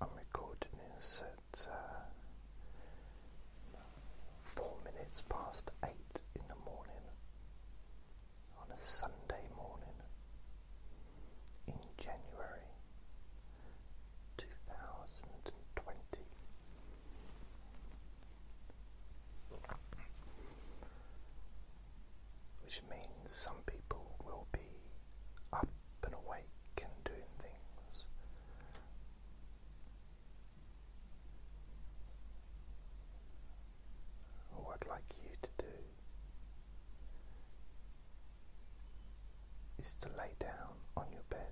I'm recording this at uh, four minutes past eight in the morning on a Sunday morning in January 2020 which means some people will be up and awake and doing things. Or I'd like you to do is to lay down on your bed.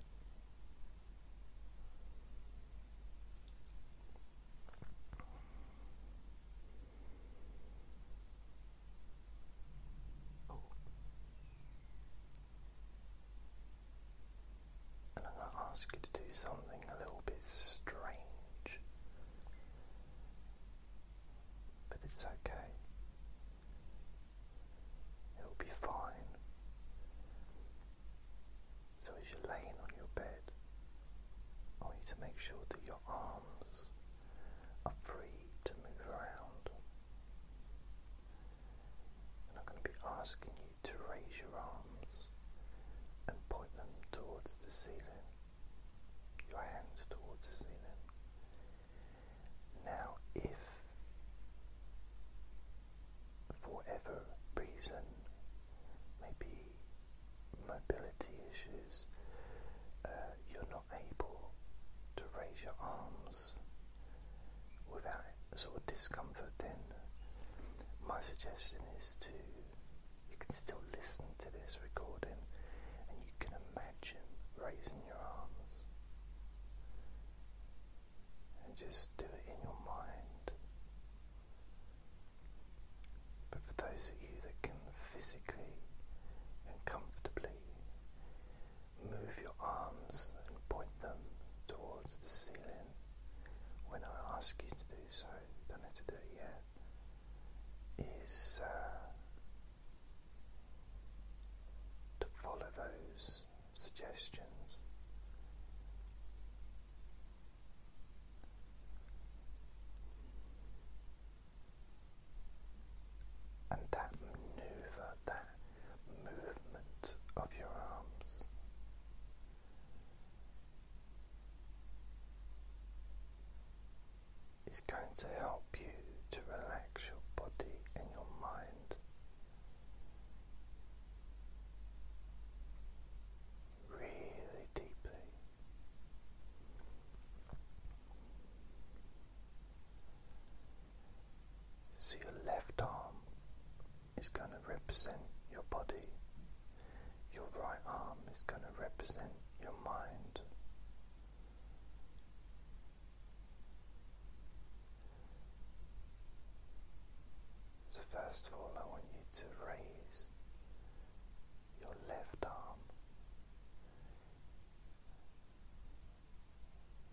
And I'm going to ask you to do something a little bit strange. But it's okay. It'll be fine. So, as you're laying on your bed, I want you to make sure that your arms are free to move around. And I'm going to be asking you to raise your arms and point them towards the ceiling, your hands towards the ceiling. Now, if for ever reason, maybe mobility issues, uh, you're not able to raise your arms without sort of discomfort, then my suggestion is to you can still listen to this recording and you can imagine raising your arms and just do it in your mind. But for those of you that can physically and comfortably move your arms and point them towards the ceiling when I ask you to do so, don't have to do it yet, is uh, to follow those suggestions and that maneuver, that movement of your arms. Is going to help you to relax your body and your mind, really deeply. So, your left arm is going to represent your body, your right arm is going to represent your mind. So, first of all, I want you to raise your left arm.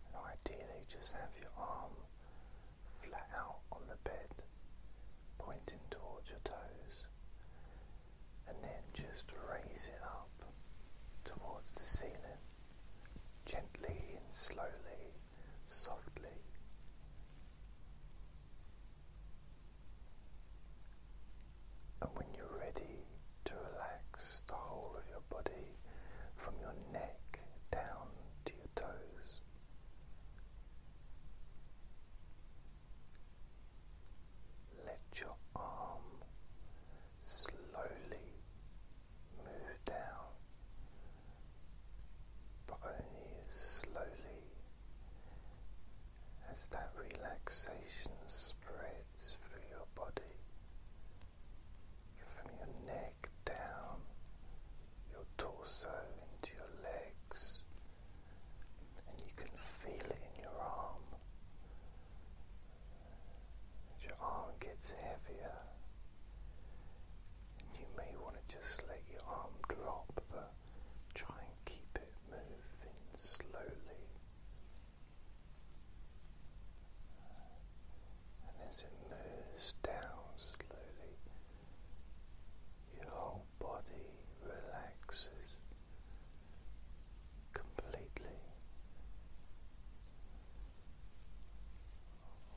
And ideally, just have your arm flat out on the bed, pointing towards your toes, and then just raise it up towards the ceiling, gently and slowly, softly. And when you're ready to relax the whole of your body from your neck down to your toes. Let your arm slowly move down, but only slowly as that relaxation spreads through your body from your neck down your torso into your legs and you can feel it in your arm as your arm gets heavier and you may want to just let your arm drop but try and keep it moving slowly and as it moves down slowly, your whole body relaxes completely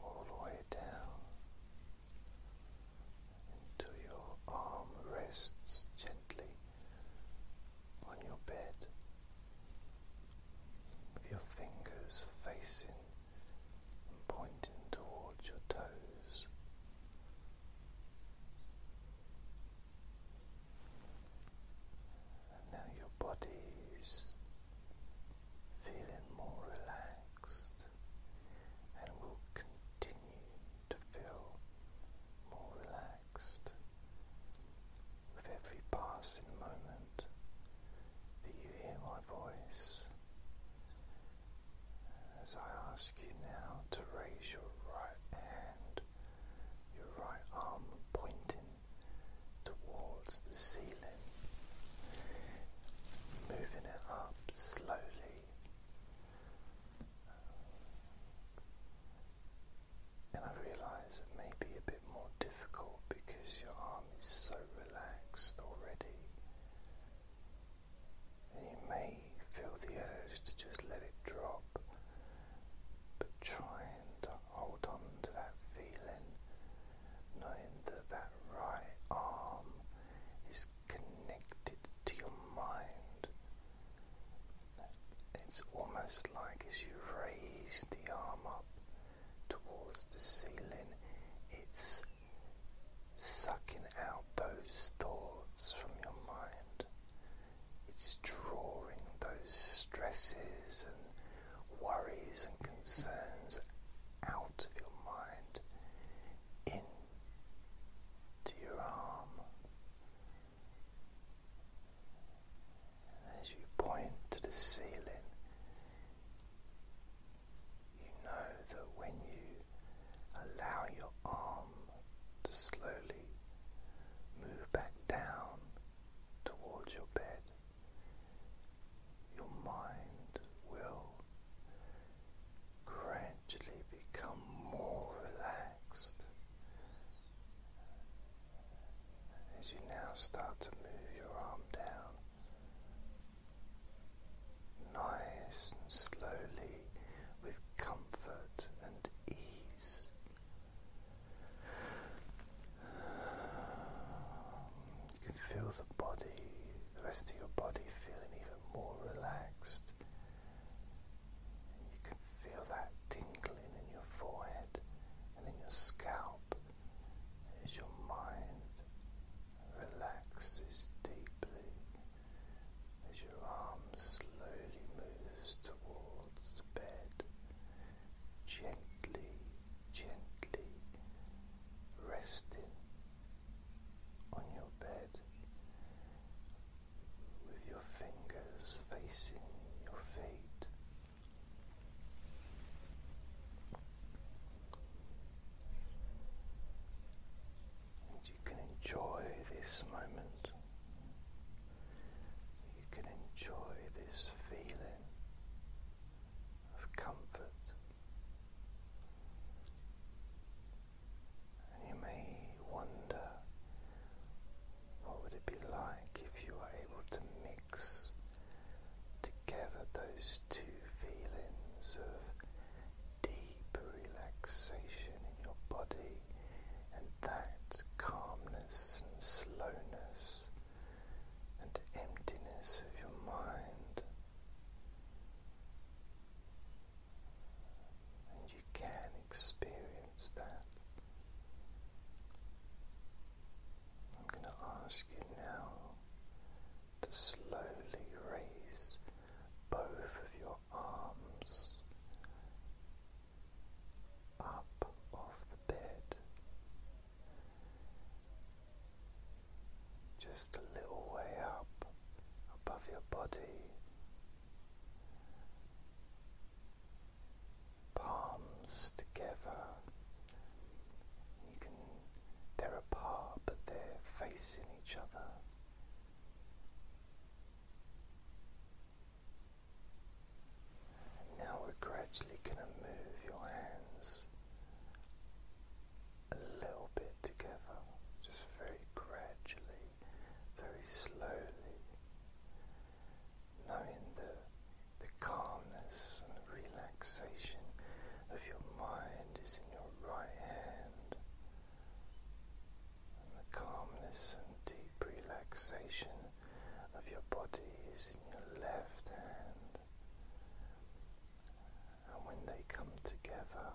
all the way down until your arm rests gently on your bed with your fingers facing pointing towards your toes. And now your body is feeling more relaxed and will to feel more relaxed. With every passing moment that you hear my voice, as I ask you now to raise your right hand, your right arm pointing towards the ceiling, moving it up slowly. And I realize it may be a bit more difficult because your arm is so relaxed already. And you may feel the urge to just let it drop, but trying to hold on to that feeling, knowing that that right arm is connected to your mind, it's almost like as you raise the arm up towards the ceiling, it's sucking out those thoughts from your mind. It's drawing those stresses and worries and concerns out of your mind into your arm as you point to the ceiling, you know that when you allow your arm to slowly move back down towards your bed, your mind will gradually become more relaxed. As you now start to move your arm down, nice and slowly, with comfort and ease, you can feel the body, the rest of your body feeling even more relaxed. You can feel that tingling in your forehead and in your scalp as your mind relaxes deeply as your arm slowly moves towards the bed, gently, gently resting on your bed with your fingers facing your feet. And you can enjoy this moment. You can enjoy this feeling of comfort. And you may wonder what would it be like if you were able to mix together those two feelings of deep relaxation in your body and that calmness and slowness and emptiness of your mind? And you can experience that. I'm going to ask you now to slowly raise both of your arms up off the bed just a little way up above your body palms together. You can, they're apart, but they're facing each other. now we're gradually going to move your hands a little bit together, just very gradually, very slowly knowing the, the calmness and relaxation of your mind is in your right hand, and the calmness and deep relaxation of your body is in your left hand, and when they come together,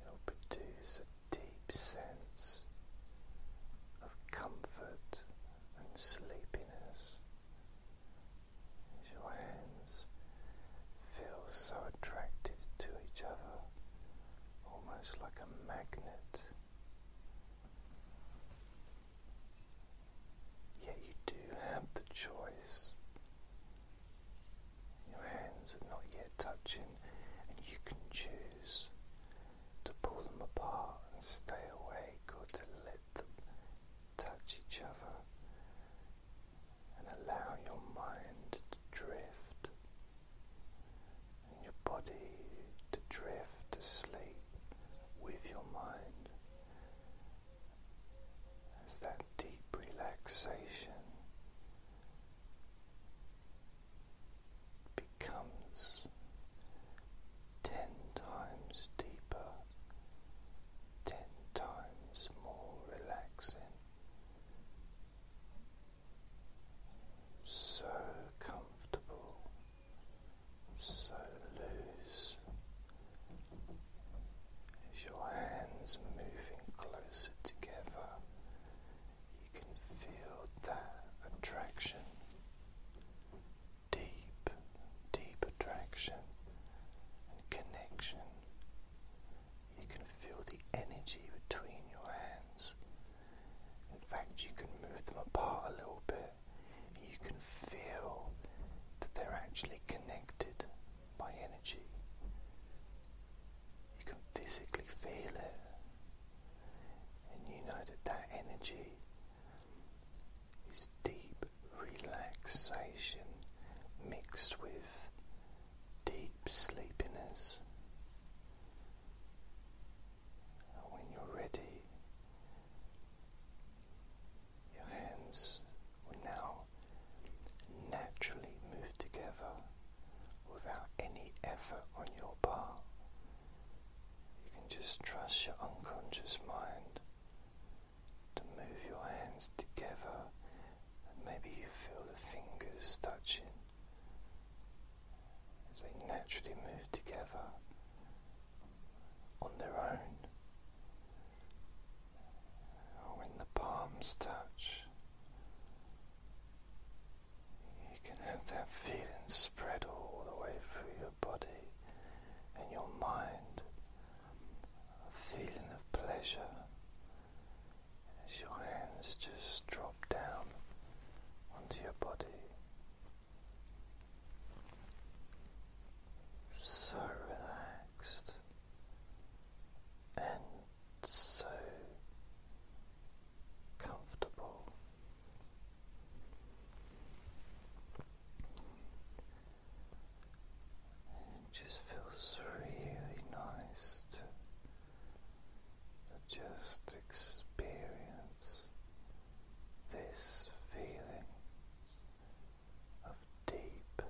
It'll produce a deep sense of comfort and sleepiness as your hands feel so attracted to each other, almost like a magnet. Yet you do have the choice your hands are not yet touching, and you can choose to pull them apart and stay awake or to let them touch each other and allow your mind to drift and your body to drift to sleep with your mind as that deep relaxation becomes ten times deeper, ten times more relaxing. So comfortable, so loose, as your hands moving closer together you can feel that attraction, deep, deep attraction and connection. You can feel the energy between your hands. In fact, you can move them apart a little bit. You can feel that they're actually connected by energy. You can physically feel it, and you know that that energy is deep relaxation mixed with deep sleepiness. when you're ready, your hands will now naturally move together without any effort on your part. You can just trust your unconscious mind to move your hands together, maybe you feel the fingers touching as they naturally move together on their own. When the palms touch, you can have that feeling spread all the way through your body and your mind. A feeling of pleasure as your hands just drop down onto your body. So relaxed and so comfortable. It just feels really nice to just experience this feeling of deep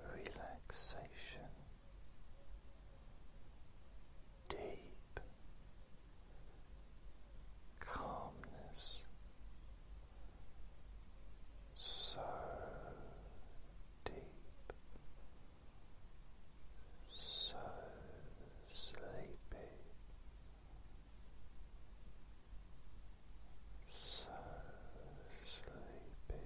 relaxation deep calmness, so deep, so sleepy, so sleepy.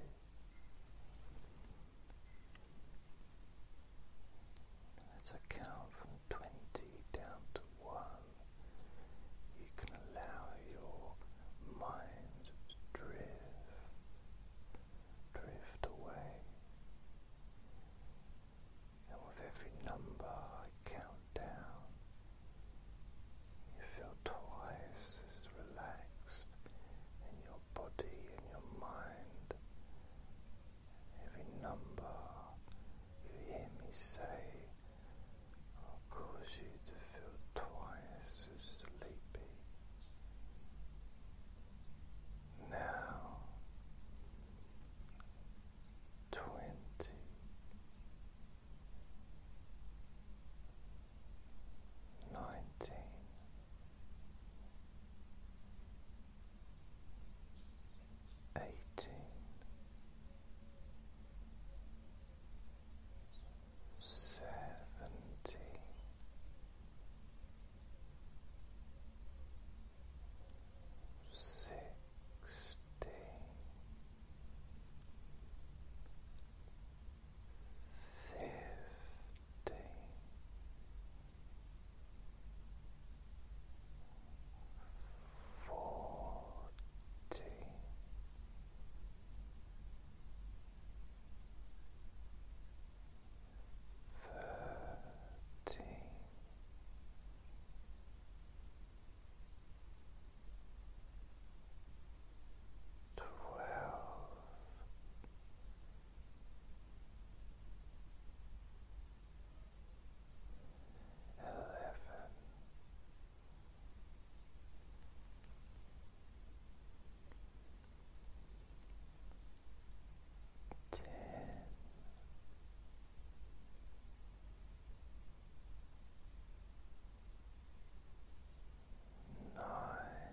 As I count from 20 down to 1, you can allow your mind to drift, drift away. And with every number I count down, you feel twice as relaxed and your body and your mind. Every number you hear me say will cause you to feel twice as sleepy. Now, twenty eighteen seventeen sixteen fifteen fifteen. Fourteen, thirteen, twelve eleven. Ten, nine,